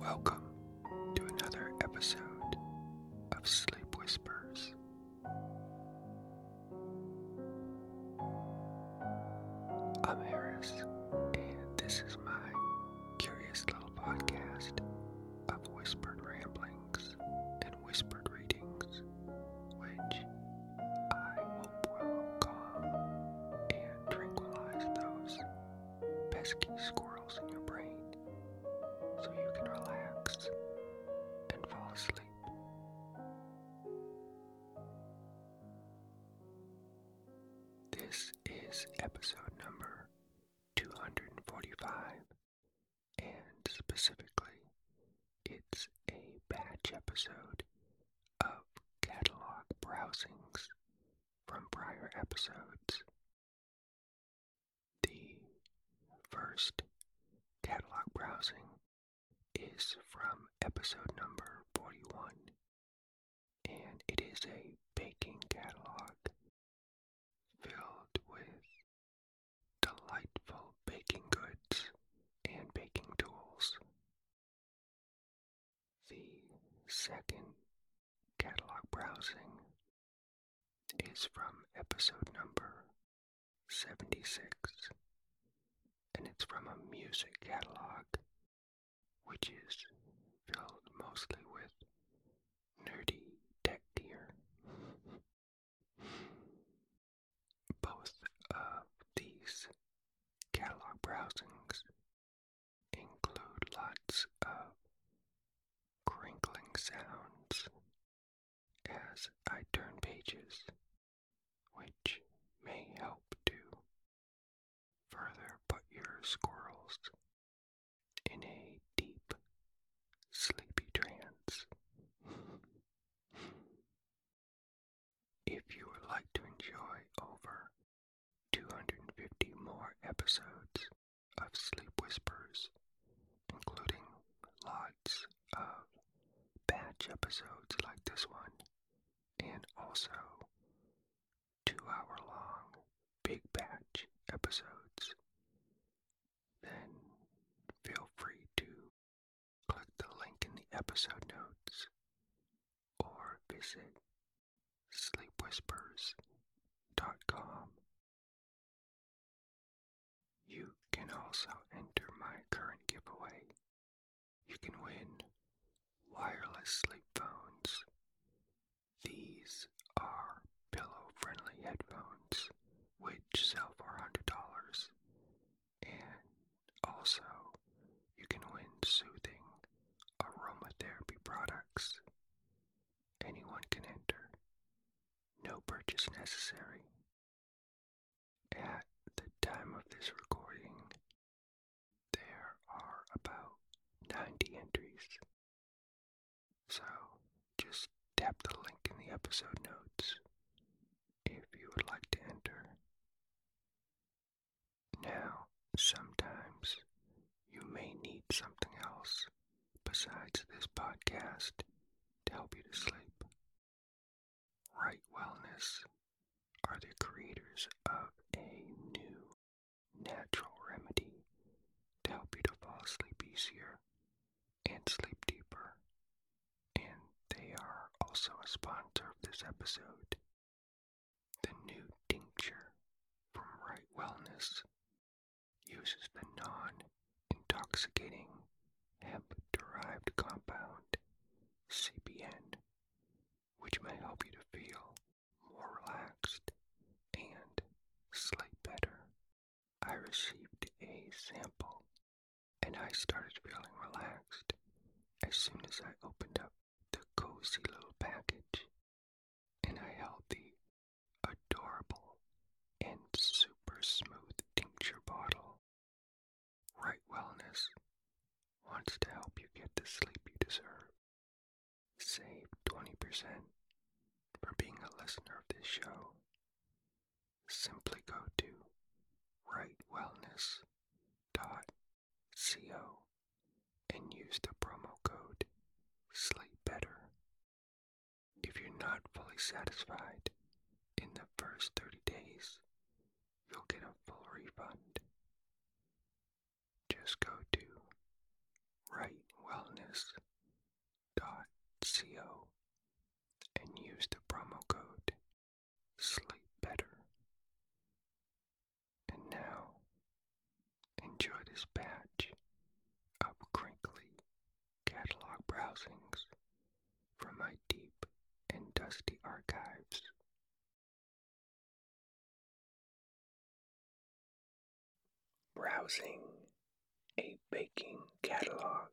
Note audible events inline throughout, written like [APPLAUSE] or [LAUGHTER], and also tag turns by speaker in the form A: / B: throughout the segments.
A: Welcome to another episode of Sleep Whispers. I'm Harris, and this is my curious little podcast of whispered ramblings whispered readings, which I hope will calm and tranquilize those pesky squirrels in your brain so you can relax and fall asleep. This is episode number 245 and specifically, it's a batch episode of catalog browsings from prior episodes. The first catalog browsing is from episode
B: number 41, and it is a baking catalog filled with delightful baking goods and baking tools. The
A: second catalog browsing is from episode number 76, and it's from a music catalog which is filled mostly with nerdy tech gear. [LAUGHS] Both of these catalog browsings include lots of crinkling sounds as I turn pages, which may help to further put your squirrels in a deep, sleepy trance. If you would like to enjoy over 250 more episodes of Sleep Whispers, including lots of batch episodes like this one, and also two hour long big batch episodes, then feel free to Click the link in the episode notes or visit sleepwhispers.com. You can also enter my current giveaway. You can win wireless sleepphones. These are pillow friendly headphones, which sell for $100. And Also, you can win soothing aromatherapy products. Anyone can enter. No purchase necessary.
B: At the time of this recording,
A: there are about 90 entries. So, just tap the link in the episode notes if you would like to enter. Now, sometimes you may need something else besides this podcast to help you to sleep. Right Wellness are the creators of a new natural remedy to help you to fall asleep easier and sleep deeper and they are also a sponsor of this episode. The new tincture from Right Wellness uses the non intoxicating hemp derived compound CBN, which may help you to feel more relaxed and sleep better. I received a sample and I started feeling relaxed as soon as I opened up the cozy little package and I held the adorable
B: and super smooth tincture bottle.
A: Right Wellness wants to help you get the sleep you deserve. Save 20% for being a listener of this show simply go to rightwellness.co and use the promo code Sleep Better. If you're not fully satisfied in the first 30 days, you'll get a full refund. Just go to rightwellness.co and use the promo code sleep better. And now, enjoy this batch of crinkly catalog browsings from my deep and dusty archives.
B: Browsing
A: a baking catalog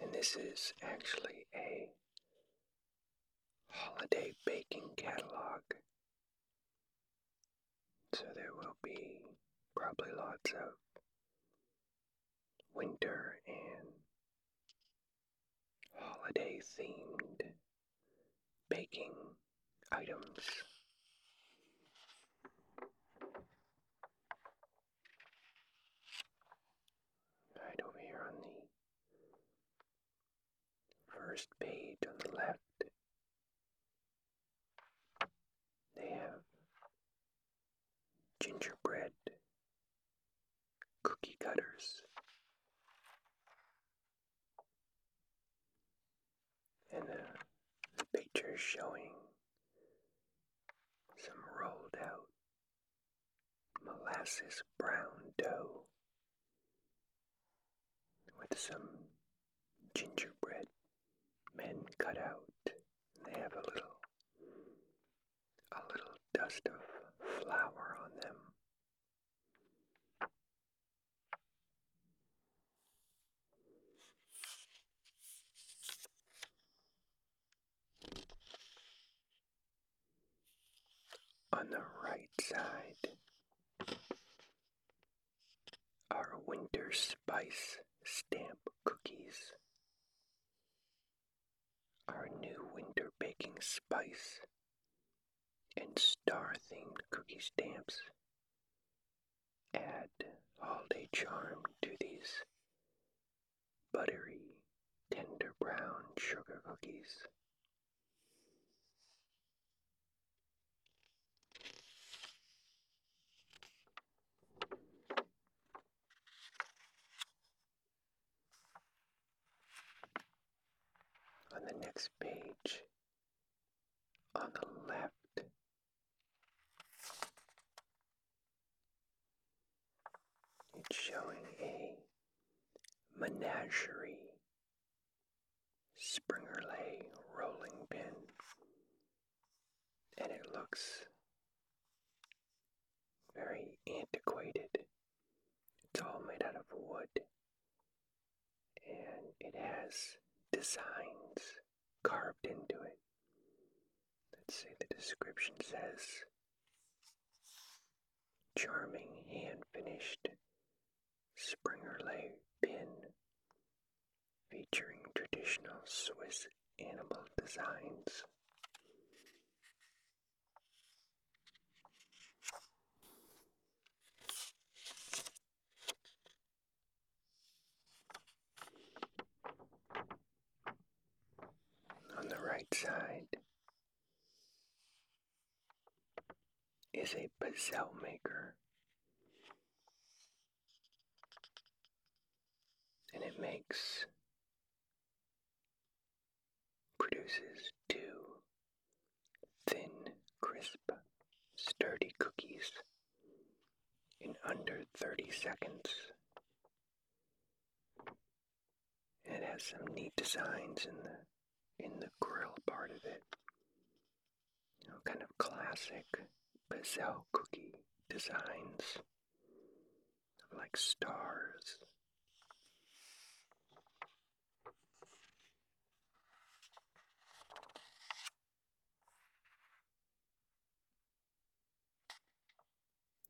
A: and this is actually a holiday baking catalog. So there will be probably lots of winter and holiday themed baking items. Right over here on the first page on the left, they have gingerbread cookie cutters and a uh, picture showing some rolled out molasses brown dough with some gingerbread men cut out. they have a little a little dust of flour on them. On the right side, are winter spice stamp cookies. Our new winter baking spice and star themed cookie stamps add holiday charm to these buttery, tender brown sugar cookies. On the next page, on the left, it's showing a menagerie springerlay rolling pin, and it looks very antiquated. It's all made out of wood, and it has designs carved into it. Let's see, the description says charming hand finished Springerlay pin featuring traditional Swiss animal designs. On the right side is a bezel maker, and it makes produces two thin, crisp, sturdy cookies in under 30 seconds. And it has some neat designs in the in the grill part of it. You know, kind of classic Bazel cookie designs like stars.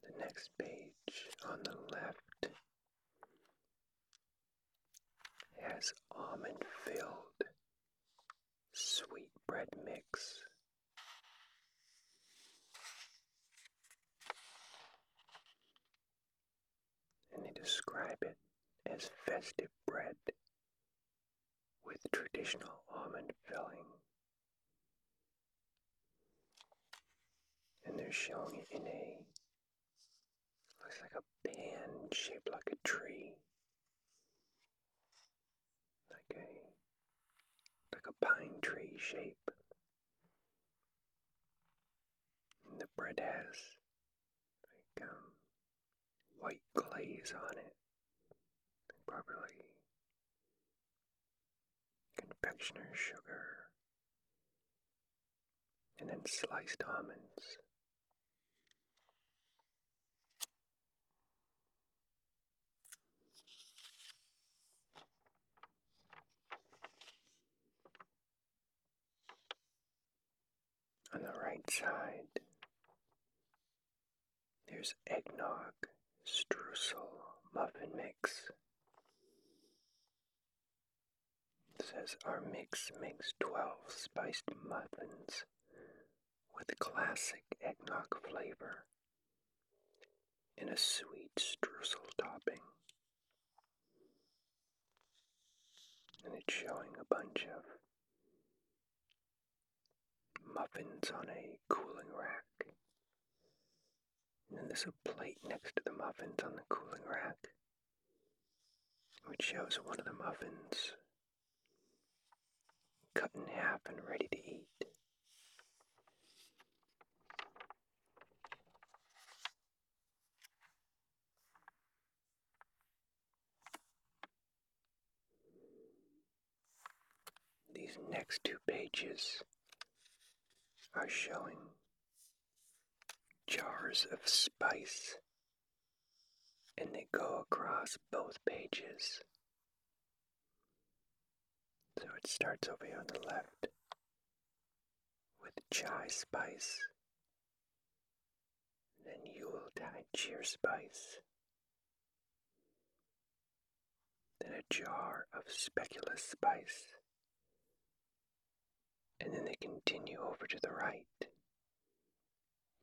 A: The next page on the left has almond filled sweet bread mix. And they describe it as festive bread with traditional almond filling. And they're showing it in a looks like a pan shaped like a tree. Like a like a pine tree shape. And the bread has like um, white glaze on it. Probably confectioner's sugar, and then sliced almonds. On the right side, there's eggnog, streusel, muffin mix. It says our mix makes 12 spiced muffins with classic eggnog flavor and a sweet streusel topping. And it's showing a bunch of muffins on a cooling rack. And then there's a plate next to the muffins on the cooling rack, which shows one of the muffins cut in half and ready to eat. These next two pages are showing jars of spice, and they go across both pages. So it starts over here on the left with chai spice, then yuletide cheer spice, then a jar of speculous spice. And then they continue over to the right,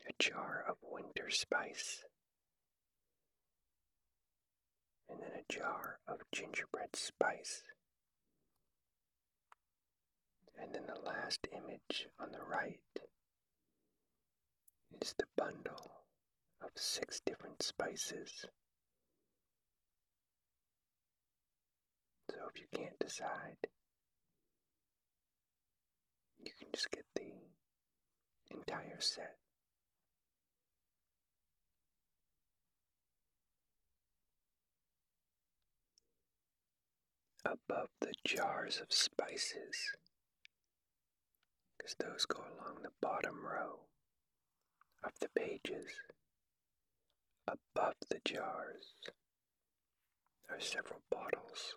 A: a jar of winter spice. And then a jar of gingerbread spice. And then the last image on the right is the bundle of six different spices. So if you can't decide, you can just get the entire set. Above the jars of spices because those go along the bottom row of the pages. Above the jars are several bottles.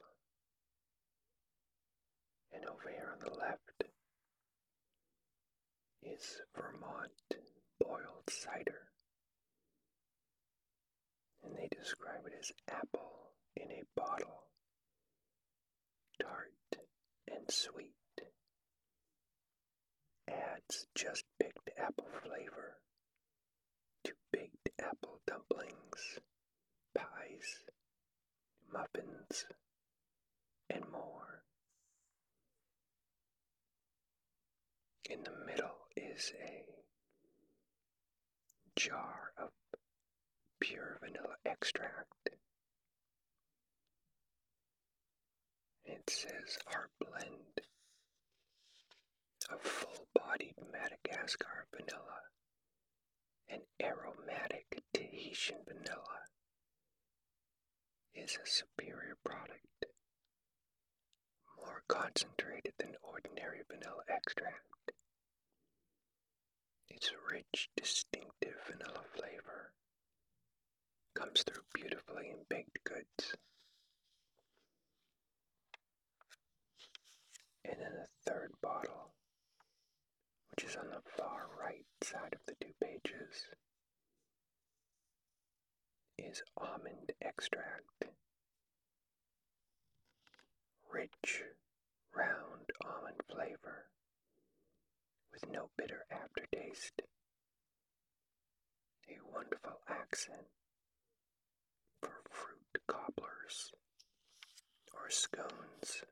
A: And over here on the left is Vermont boiled cider. And they describe it as apple in a bottle tart, and sweet. Adds just picked apple flavor to baked apple dumplings, pies, muffins, and more. In the middle is a jar of pure vanilla extract it says our blend of full bodied Madagascar vanilla and aromatic Tahitian vanilla is a superior product, more concentrated than ordinary vanilla extract. Its rich, distinctive vanilla flavor comes through beautifully in baked goods. And then a third bottle, which is on the far right side of the two pages, is almond extract. Rich, round almond flavor with no bitter aftertaste. A wonderful accent for fruit cobblers or scones.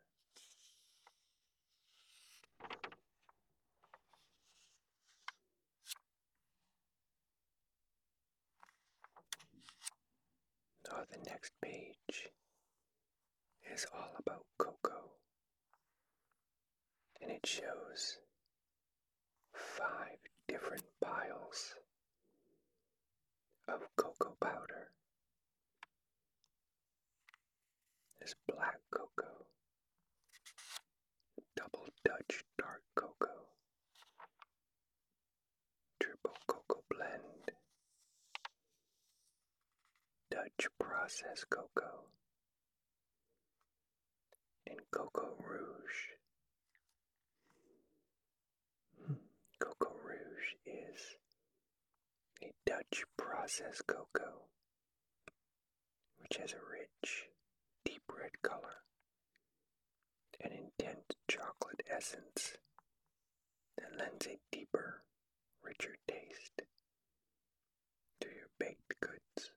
A: Oh, the next page is all about Coco. And it shows five different piles of cocoa powder. There's black cocoa, double Dutch dark cocoa, triple cocoa blend, Dutch processed cocoa, and cocoa rouge. Hmm. Cocoa rouge is a Dutch processed cocoa which has a rich, deep red color, and intense chocolate essence that lends a deeper, richer taste to your baked goods.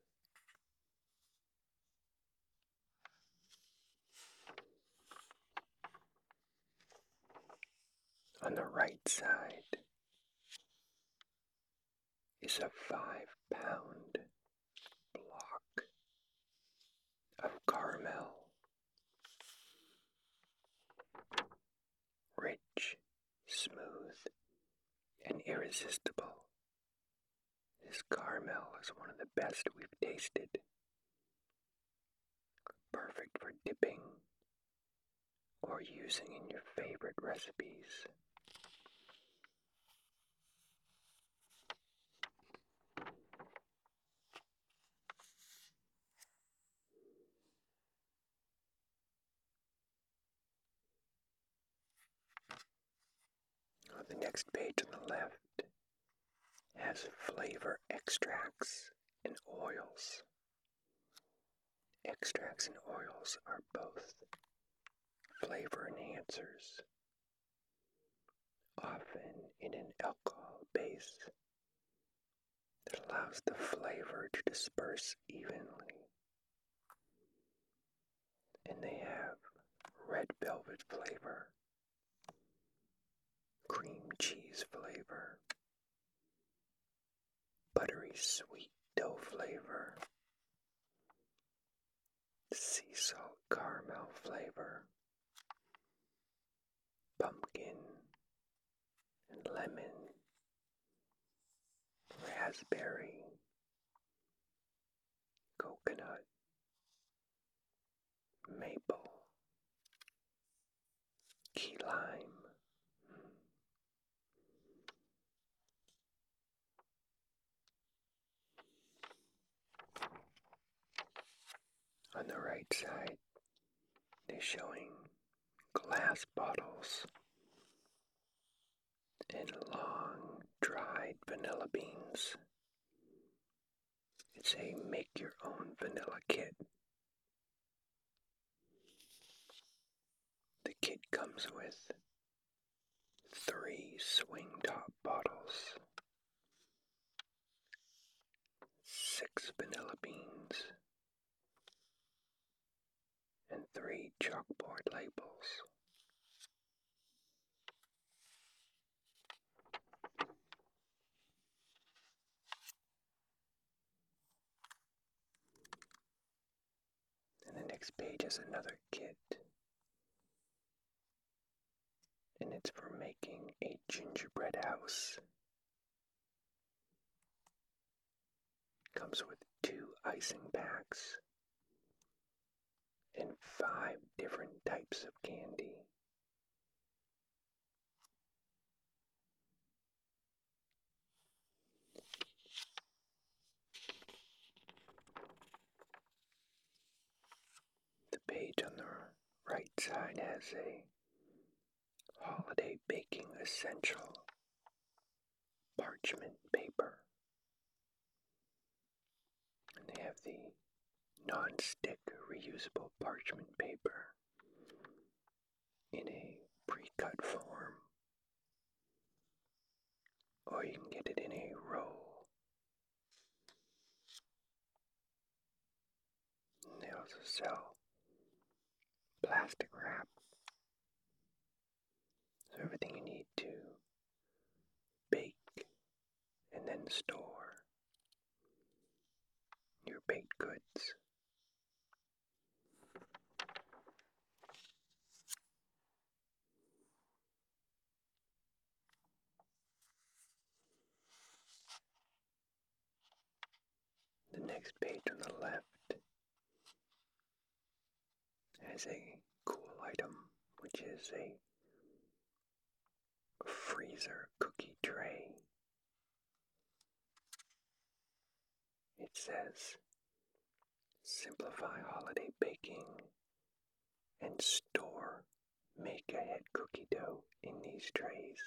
A: On the right side is a five pound block of caramel rich, smooth, and irresistible. This caramel is one of the best we've tasted. Perfect for dipping or using in your favorite recipes the next page on the left has flavor extracts and oils. Extracts and oils are both flavor enhancers, often in an alcohol base that allows the flavor to disperse evenly. And they have red velvet flavor, cream cheese flavor, buttery sweet dough flavor, sea salt caramel flavor, pumpkin and lemon, raspberry, coconut, maple, key lime. On the right side, they're showing glass bottles, and long dried vanilla beans. It's a make your own vanilla kit. The kit comes with three swing top bottles, six vanilla beans, and three chalkboard labels. And the next page is another kit. And it's for making a gingerbread house Comes with two icing packs and five different types of candy. The page on the right side has a holiday baking essential parchment paper. they have the non-stick reusable parchment paper in a pre-cut form. Or you can get it in a roll. they also sell plastic wrap so everything you need to bake and then store your baked goods. The next page on the left as a cool item, which is a freezer cookie tray. It says, simplify holiday baking and store make ahead cookie dough in these trays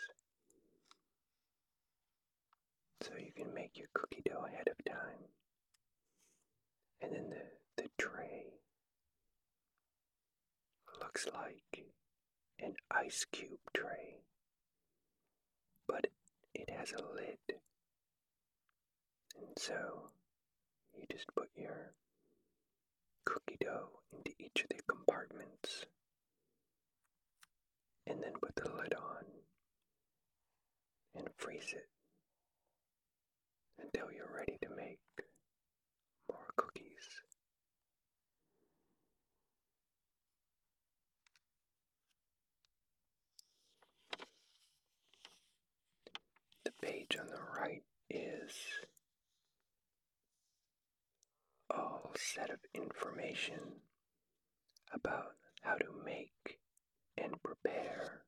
A: so you can make your cookie dough ahead of time. And then the, the tray looks like an ice cube tray, but it has a lid. And so you just put your cookie dough into each of the compartments and then put the lid on and freeze it until you're ready to make more cookies. The page on the right is all set of information about how to make and prepare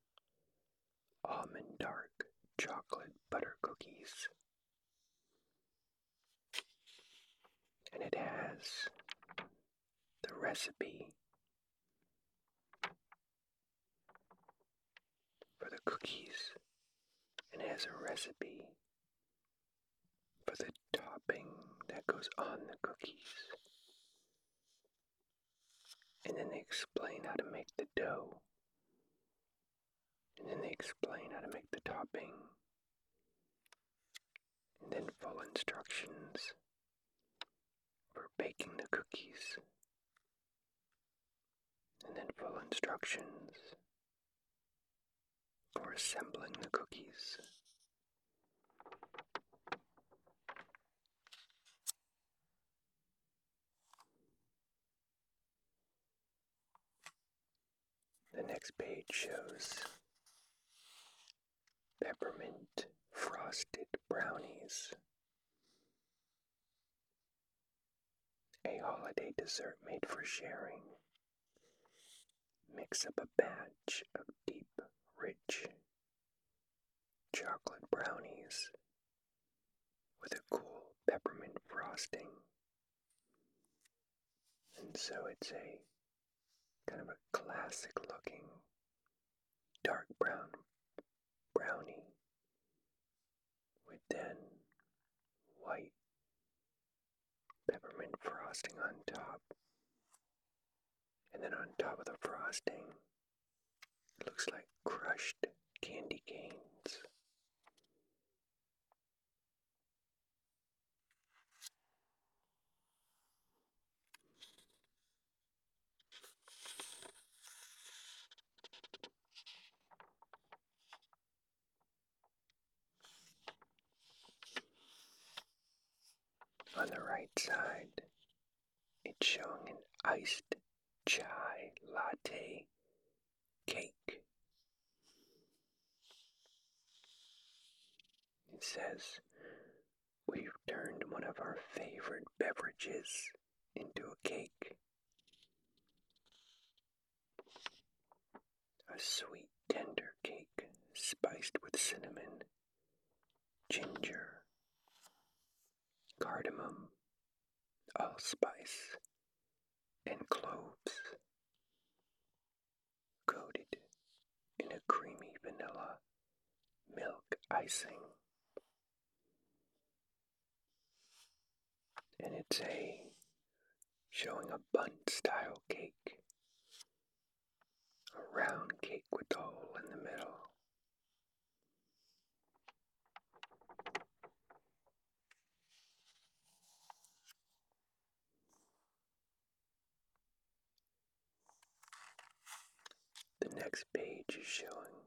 A: almond dark chocolate butter cookies. And it has the recipe for the cookies, and it has a recipe for the topping that goes on the cookies. And then they explain how to make the dough. And then they explain how to make the topping. And then full instructions for baking the cookies. And then full instructions for assembling the cookies. The next page shows peppermint frosted brownies. A holiday dessert made for sharing. Mix up a batch of deep, rich chocolate brownies with a cool peppermint frosting. And so it's a kind of a classic looking dark brown brownie with then white peppermint frosting on top. And then on top of the frosting, it looks like crushed candy canes. On the right side, it's showing an iced chai latte cake. It says, We've turned one of our favorite beverages into a cake. A sweet, tender cake spiced with cinnamon ginger, cardamom, allspice, oh, and cloves, coated in a creamy vanilla milk icing. And it's a showing a bun style cake a round cake with a hole in the middle. The next page is showing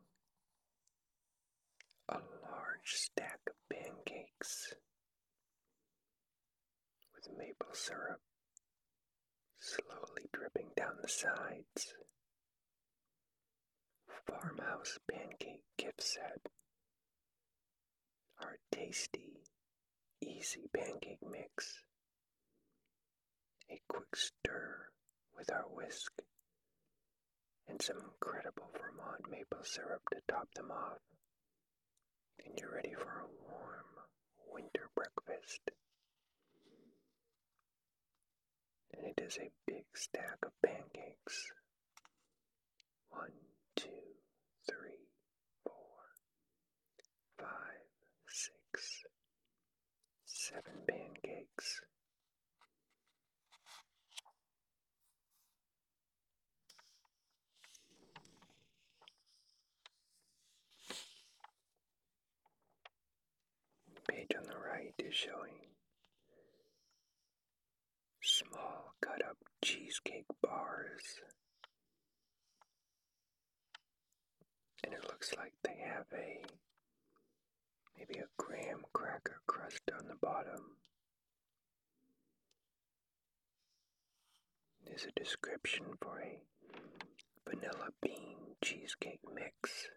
A: a large stack of pancakes with maple syrup slowly dripping down the sides. Farmhouse pancake gift set. Our tasty, easy pancake mix. A quick stir with our whisk and some incredible Vermont maple syrup to top them off. And you're ready for a warm winter breakfast and it is a big stack of pancakes. One, two, three, four, five, six, seven pancakes. Page on the right is showing small cut up cheesecake bars. And it looks like they have a maybe a graham cracker crust on the bottom. There's a description for a vanilla bean cheesecake mix,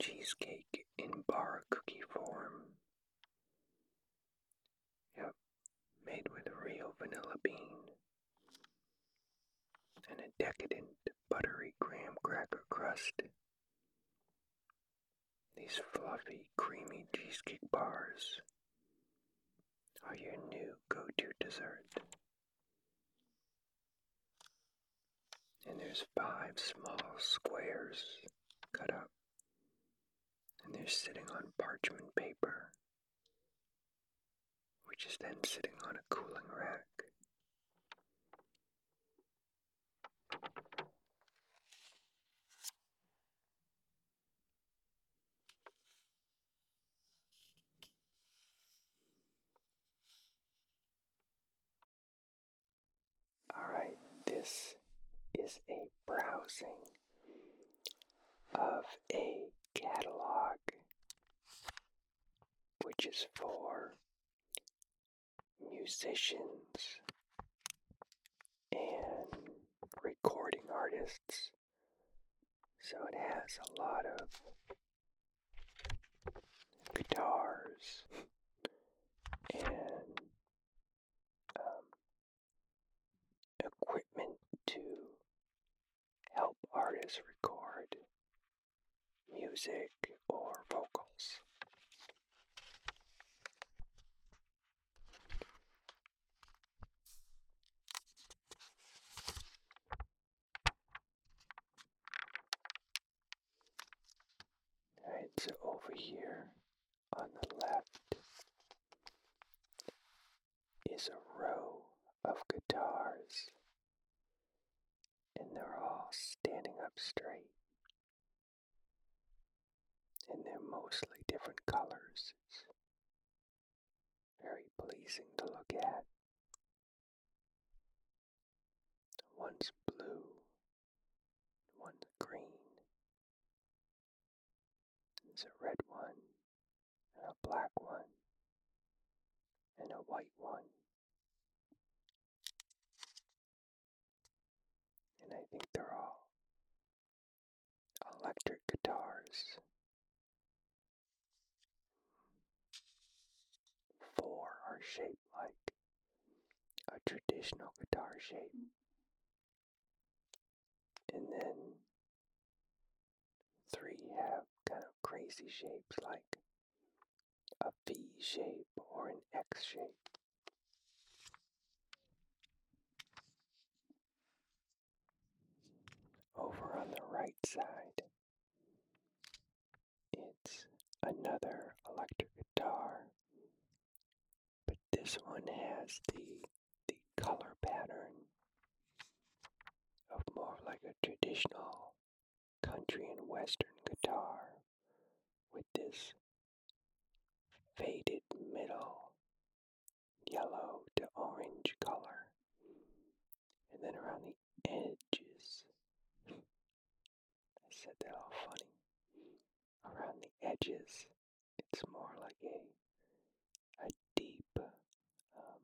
A: cheesecake in bar cookie form. made with real vanilla bean and a decadent buttery graham cracker crust. These fluffy, creamy cheesecake bars are your new go to dessert. And there's five small squares cut up. And they're sitting on parchment paper, which is then sitting on a cooling rack. Alright, this is a browsing of a catalog which is for musicians and recording artists so it has a lot of guitars and um, equipment to help artists record music or vocals. Alright, so over here on the left is a row of guitars, and they're all standing up straight. And they're mostly different colors. very pleasing to look at. One's blue, one's green. There's a red one, and a black one, and a white one. And I think they're all electric guitars. Four are shaped like a traditional guitar shape. And then three have kind of crazy shapes like a V shape or an X shape. Over on the right side, it's another electric guitar, but this one has the the color pattern of more like a traditional country and western guitar with this faded middle yellow to orange color. And then around the edges. I said that all funny. Around the edges, it's more like a a deep um,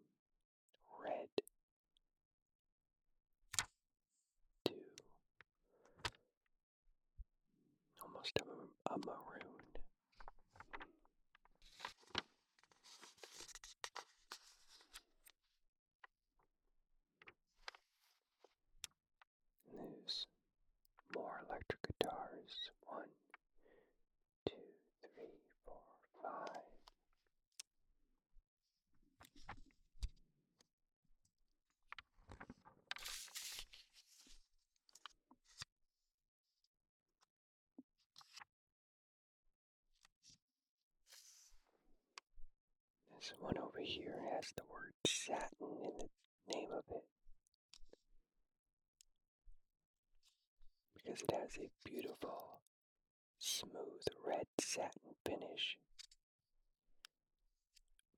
A: red to almost a maroon. News. More electric guitars. One, two, three, four, five. This one over here has the word satin in the name of it. Because it has a beautiful, smooth red satin finish,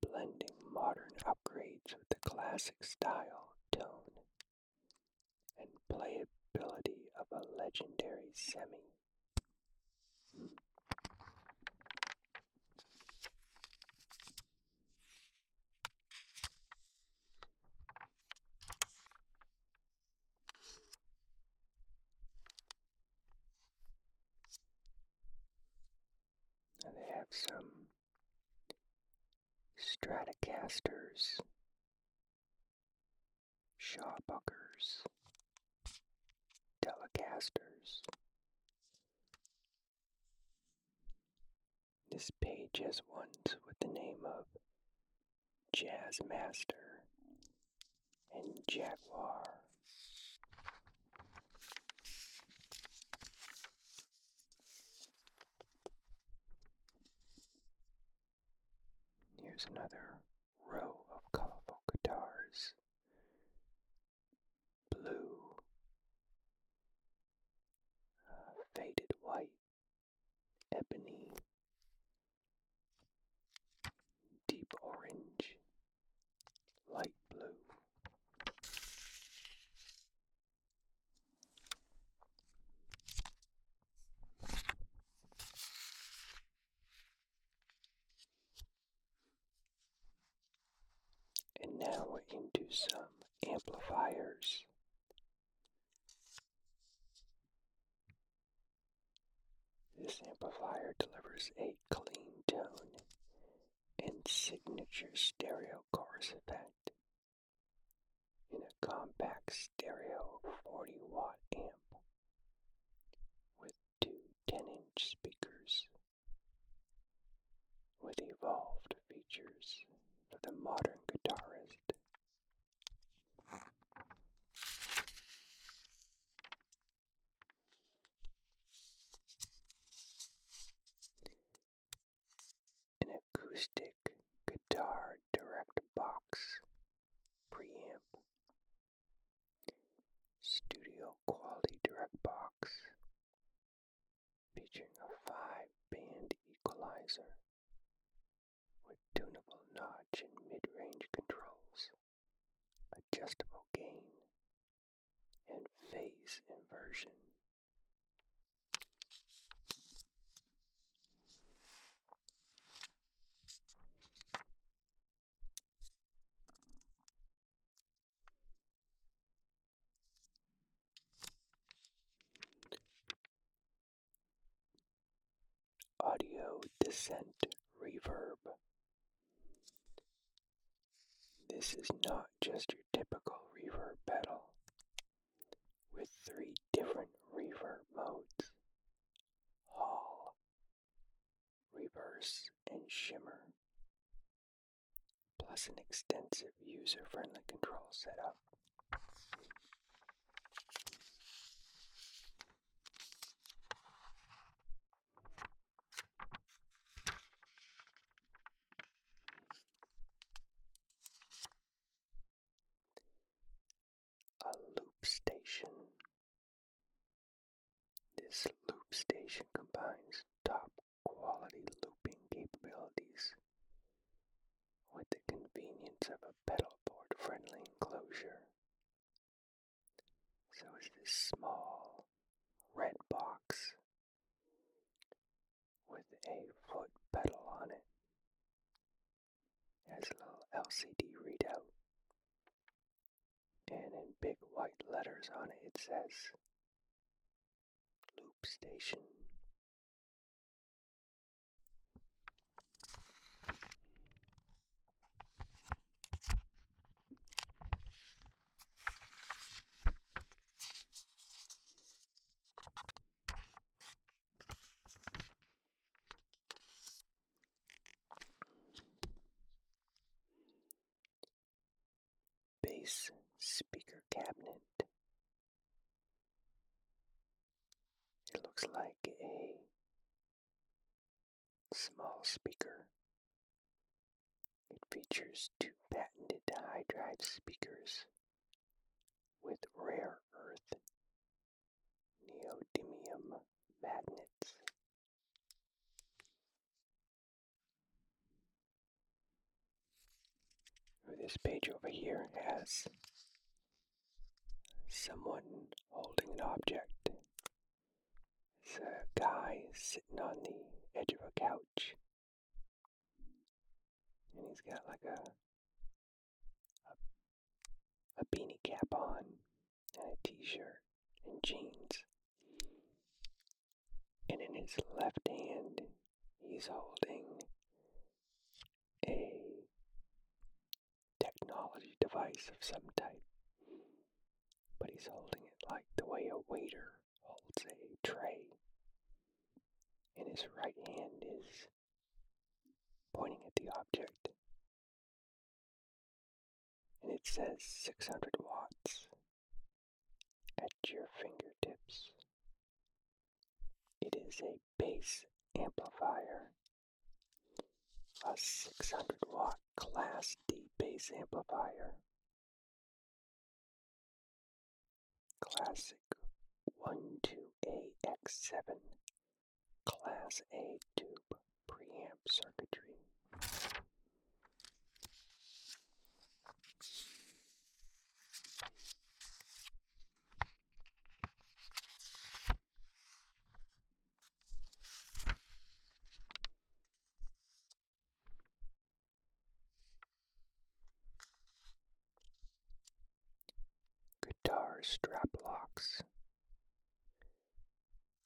A: blending modern upgrades with the classic style, tone, and playability of a legendary semi they have some Stratocasters Shawbuckers, Telecasters. This page has ones with the name of Jazzmaster and Jaguar. Here's another row of colorful guitars blue, uh, faded white, ebony, deep orange, light blue. And now we're into some amplifiers. This amplifier delivers a clean tone and signature stereo chorus effect in a compact stereo 40 watt amp with two 10 inch speakers with evolved features for the modern guitarist. An acoustic guitar direct box preamp studio quality direct box featuring a five band equalizer with tunable notch and mid range controls, adjustable gain, and phase inversion. Audio descent reverb. This is not just your typical reverb pedal with three different reverb modes hall, reverse, and shimmer, plus an extensive user-friendly control setup
B: a loop station. This loop station combines top quality looping capabilities
A: with the convenience of a pedalboard friendly enclosure. So is this small red box with a foot pedal on it. It has a little LCD readout and in big white letters on it, it says Loop Station. Bass speaker cabinet. It looks like a small speaker. It features two patented high drive speakers with rare earth neodymium magnets. This page over here has someone holding an object. It's a guy sitting on the edge of a couch. And he's got like a, a a beanie cap on, and a t shirt and jeans. And in his left hand, he's holding a technology device of some type. But he's holding it like the way a waiter holds a tray. And his right hand is pointing at the object and it says 600 watts at your fingertips. It is a bass amplifier, a 600 watt Class D bass amplifier. Classic One 2 ax 7 Class A tube preamp circuitry. Guitar strap locks.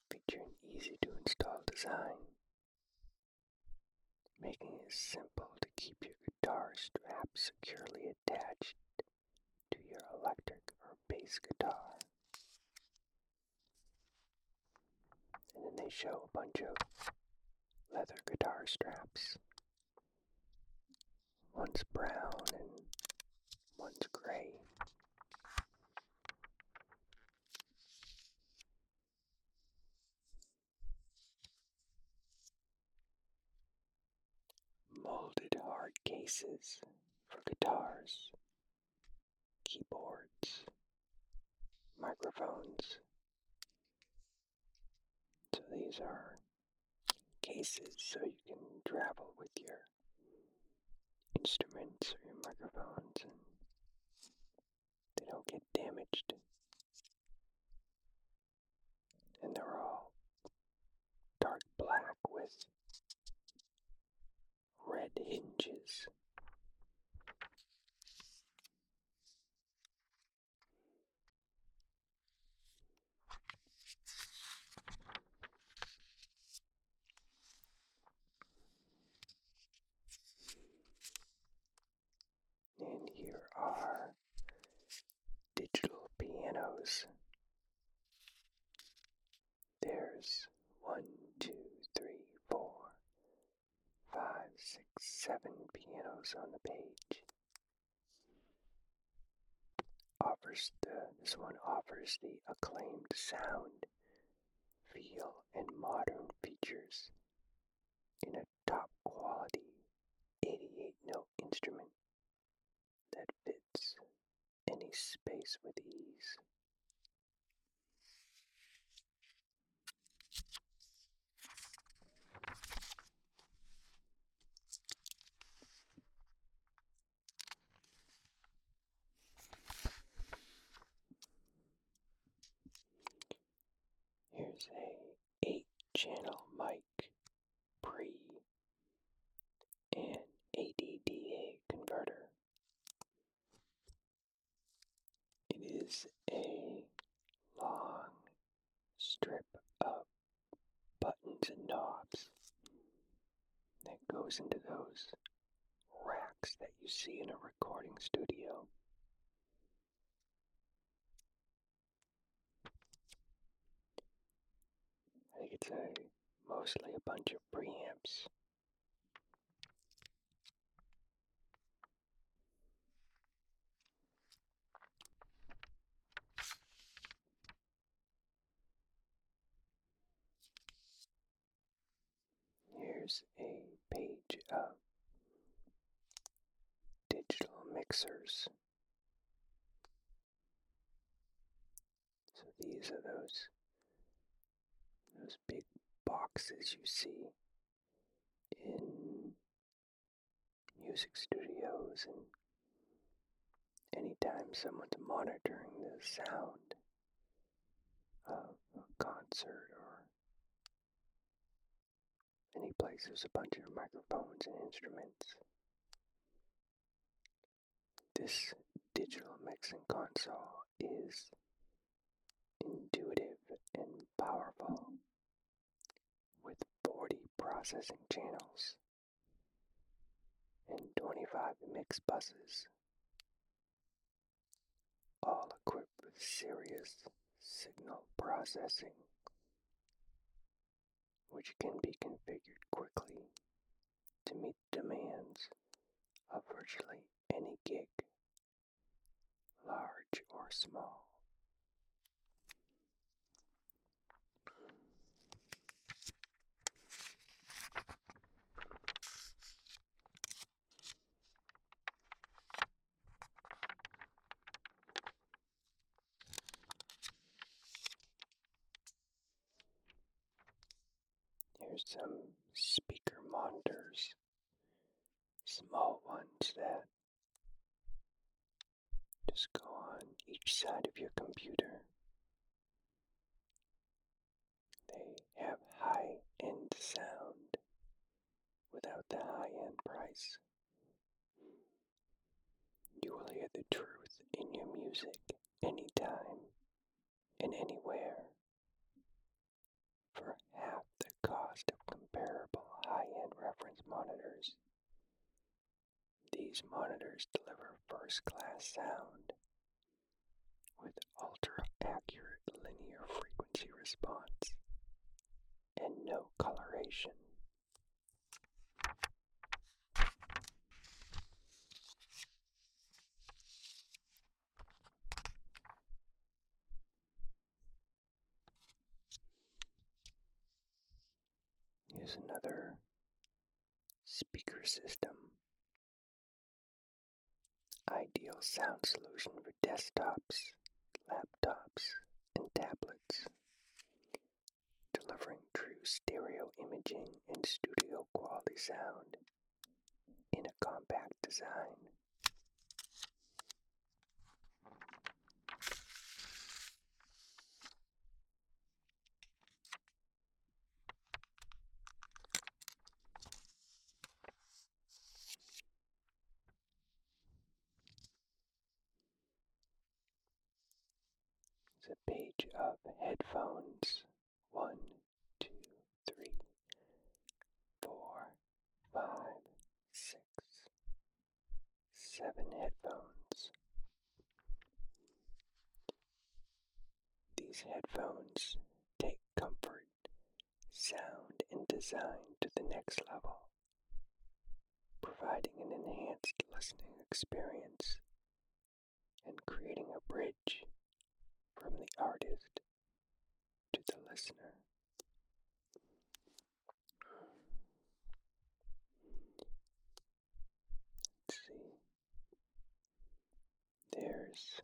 A: Feature an easy to install design, making it simple to keep your guitar straps securely attached to your electric or bass guitar. And then they show a bunch of leather guitar straps. One's brown and one's gray. Molded hard cases for guitars, keyboards, microphones. So these are cases so you can travel with your instruments or your microphones and they don't get damaged. And they're all dark black with red hinges. And here are digital pianos. There's one, two, three, four, five, six, seven pianos on the page. Offers the this one offers the acclaimed sound feel, and modern features in a top quality 88 note instrument that fits any space with ease. Here's a 8 channel mic pre and ADDA converter. It is a long strip of buttons and knobs that goes into those racks that you see in a recording studio. I think it's mostly a bunch of preamps. Here's a page of digital mixers. So these are those those big boxes you see in music studios and anytime someone's monitoring the sound of uh, a concert or any place there's a bunch of microphones and instruments. This digital mixing console is intuitive and powerful with 40 processing channels and 25 mix buses all equipped with serious signal processing, which can be configured quickly to meet demands of virtually any gig, large or small. There's some speaker monitors, small ones that just go on each side of your computer. They have high end sound without the high end price. You will hear the truth in your music anytime and anywhere for half the cost of comparable high end reference monitors. These monitors deliver first class sound with ultra-accurate linear frequency response and no coloration. Here's another speaker system Ideal sound solution for desktops, laptops, and tablets. Delivering true stereo imaging and studio quality sound in a compact design. It's a page of headphones. One, two, three, four, five, six, seven headphones. These headphones take comfort sound and design to the next level, providing an enhanced listening experience and creating a bridge from the artist to the listener. see there's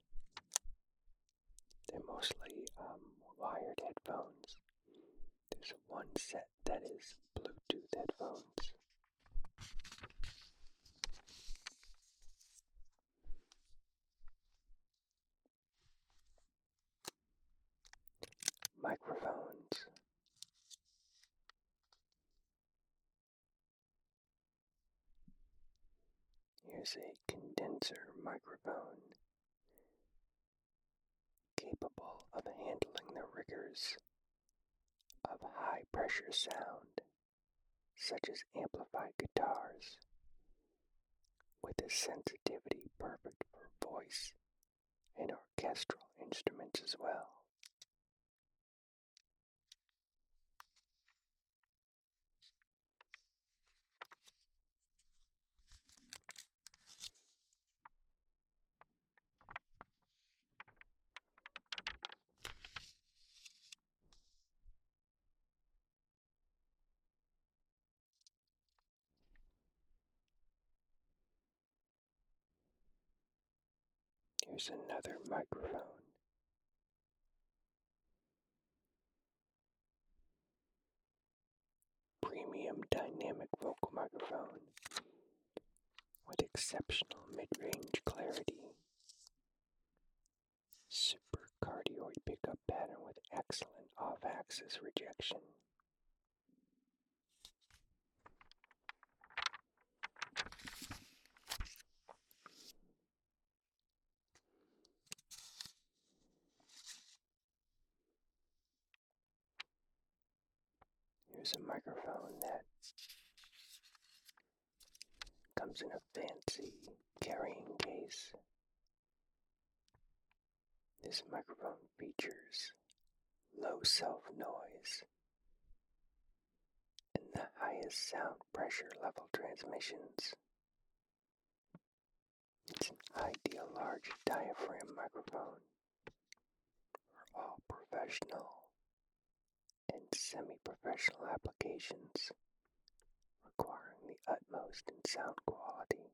A: they're mostly um, wired headphones. There's one set that is Bluetooth headphones. Microphones. Here's a condenser microphone capable of handling the rigors of high pressure sound, such as amplified guitars, with a sensitivity perfect for voice and orchestral instruments as well.
B: Here's another microphone.
A: Premium dynamic vocal microphone with exceptional mid range clarity. Super cardioid pickup pattern with excellent off axis rejection. Here's a microphone that comes in a fancy carrying case. This microphone features low self noise and the highest sound pressure level transmissions. It's an ideal large diaphragm microphone for all professional and semi-professional applications requiring the utmost in sound quality.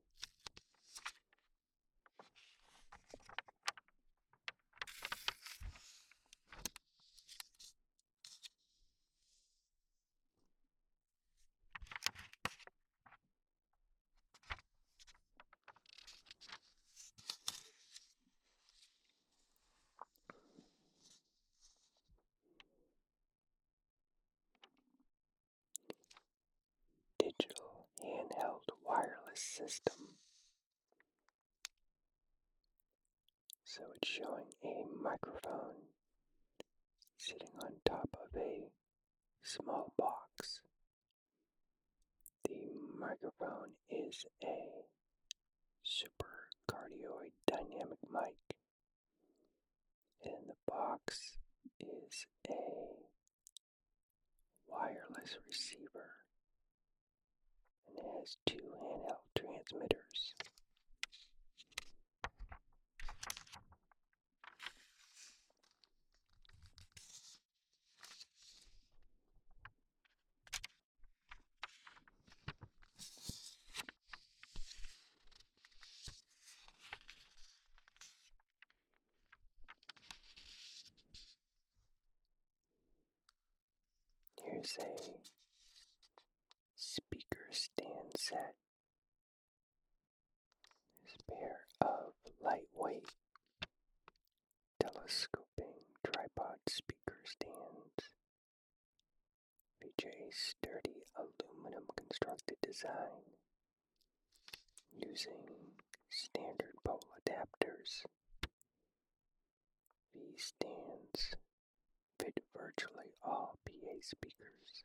A: Digital handheld wireless system. So it's showing a microphone sitting on top of a small box. The microphone is a supercardioid dynamic mic, and the box is a wireless receiver and has two handheld transmitters. Here's a speaker stand set this pair of lightweight telescoping tripod speaker stands feature sturdy aluminum constructed design using standard pole adapters. These stands fit virtually all PA speakers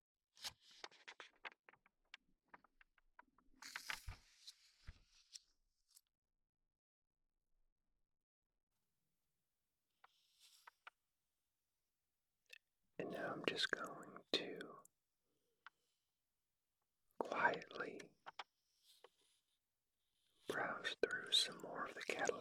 A: And now I'm just going to quietly browse through some more of the catalog.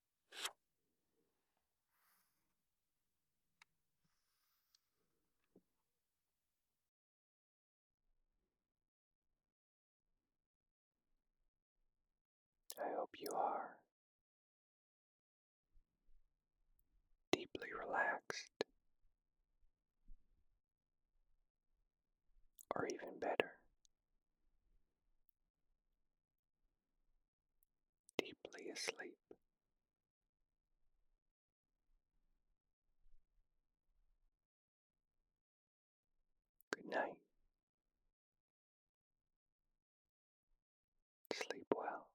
B: I hope you are deeply relaxed,
A: or even better, deeply asleep.
B: Good night. Sleep well.